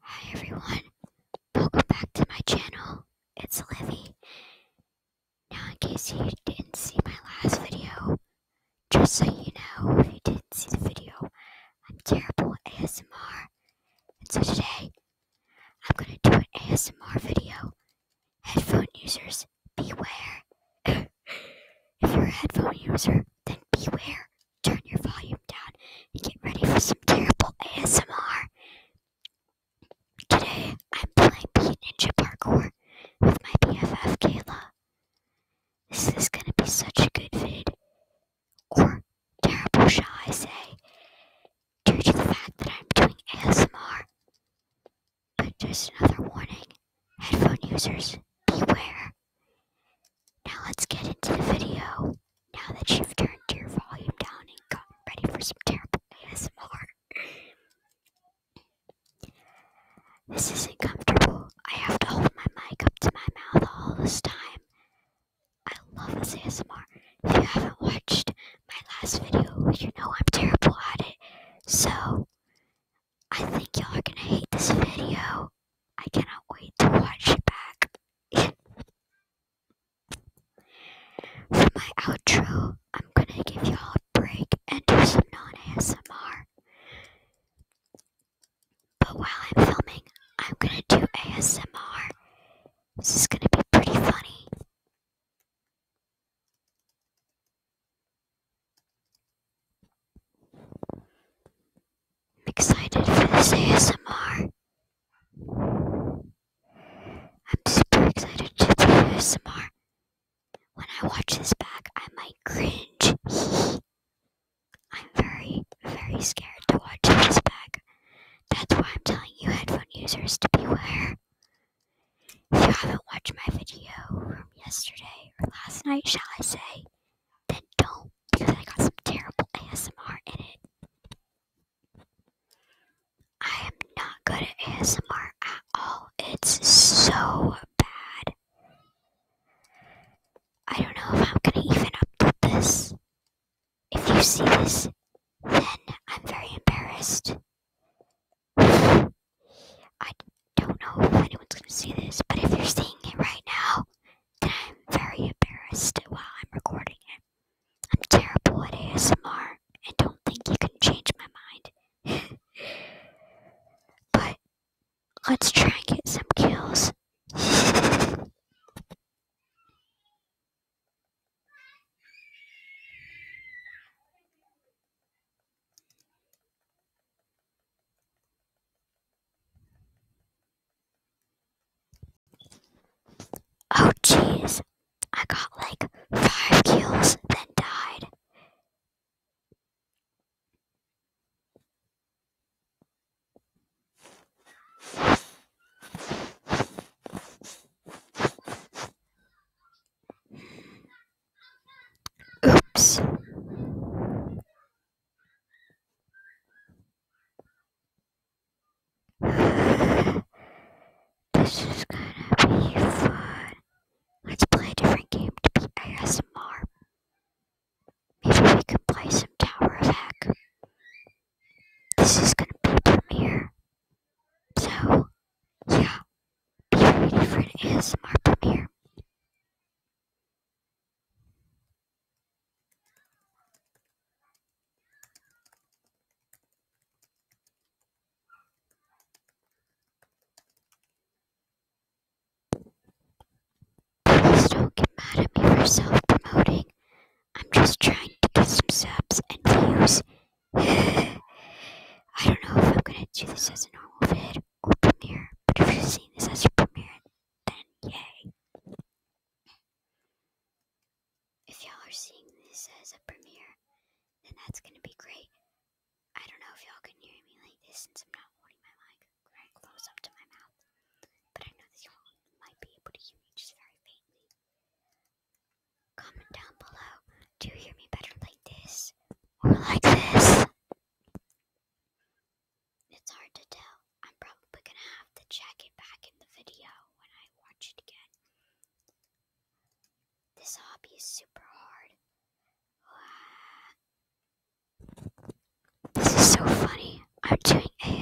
Hi everyone, welcome back to my channel. It's Livy. Now, in case you didn't see my last video, just so you know, if you didn't see the video, I'm terrible at ASMR. And so today, I'm gonna do an ASMR video. Headphone users, beware. if you're a headphone user, then beware turn your volume down and get ready for some terrible ASMR. Today, I'm playing Beat Ninja Parkour with my BFF Kayla. This is gonna be such a good vid. Or terrible, shall I say, due to the fact that I'm doing ASMR. But just another warning, headphone users, beware. Now let's get into the video. Now that you've turned your volume down and gotten ready for some terrible ASMR. This isn't comfortable. I have to hold my mic up to my mouth all this time. I love this ASMR. If you haven't watched my last video, you know I'm terrible at it. So, I think y'all are gonna hate this video. I cannot wait to watch it back. For my outro, I'm gonna give y'all a break and do some non ASMR. But while I'm filming, I'm gonna do ASMR. This is gonna be pretty funny. I'm excited for this ASMR. I'm super excited to do ASMR. When I watch this back, I might cringe. I'm very, very scared to watch this back. That's why I'm telling you, headphone users, to beware. If you haven't watched my video from yesterday or last night, shall I say, then don't because I got some terrible ASMR in it. I am not good at ASMR at all. It's so bad. I don't know if I'm gonna even upload this. If you see this, then I'm very embarrassed. I don't know if anyone's gonna see this, but if you're seeing it right now, then I'm very embarrassed while I'm recording it. I'm terrible at ASMR and don't think you can change my mind. but let's try and get some kills. Oh jeez, I got like five kills, then died. Oops. this is gonna be fun. Let's play a different game to be ASMR. Maybe we can play some Tower of Heck this is gonna be a premiere. So, yeah, be ready for an premiere. don't get mad at me for self promoting. I'm just trying to get some subs and views. I don't know if I'm gonna do this as a normal vid or premiere, but if you're seeing this as a premiere, then yay. If y'all are seeing this as a premiere, then that's gonna be great. I don't know if y'all can hear me like this since I'm not holding my mic right close up to my mouth, but I know that y'all might be able to hear me just very faintly. Comment down below. Do you hear me better like this or like this? It's hard to tell. I'm probably gonna have to check it back in the video when I watch it again. This hobby is super hard. This is so funny. I'm doing a.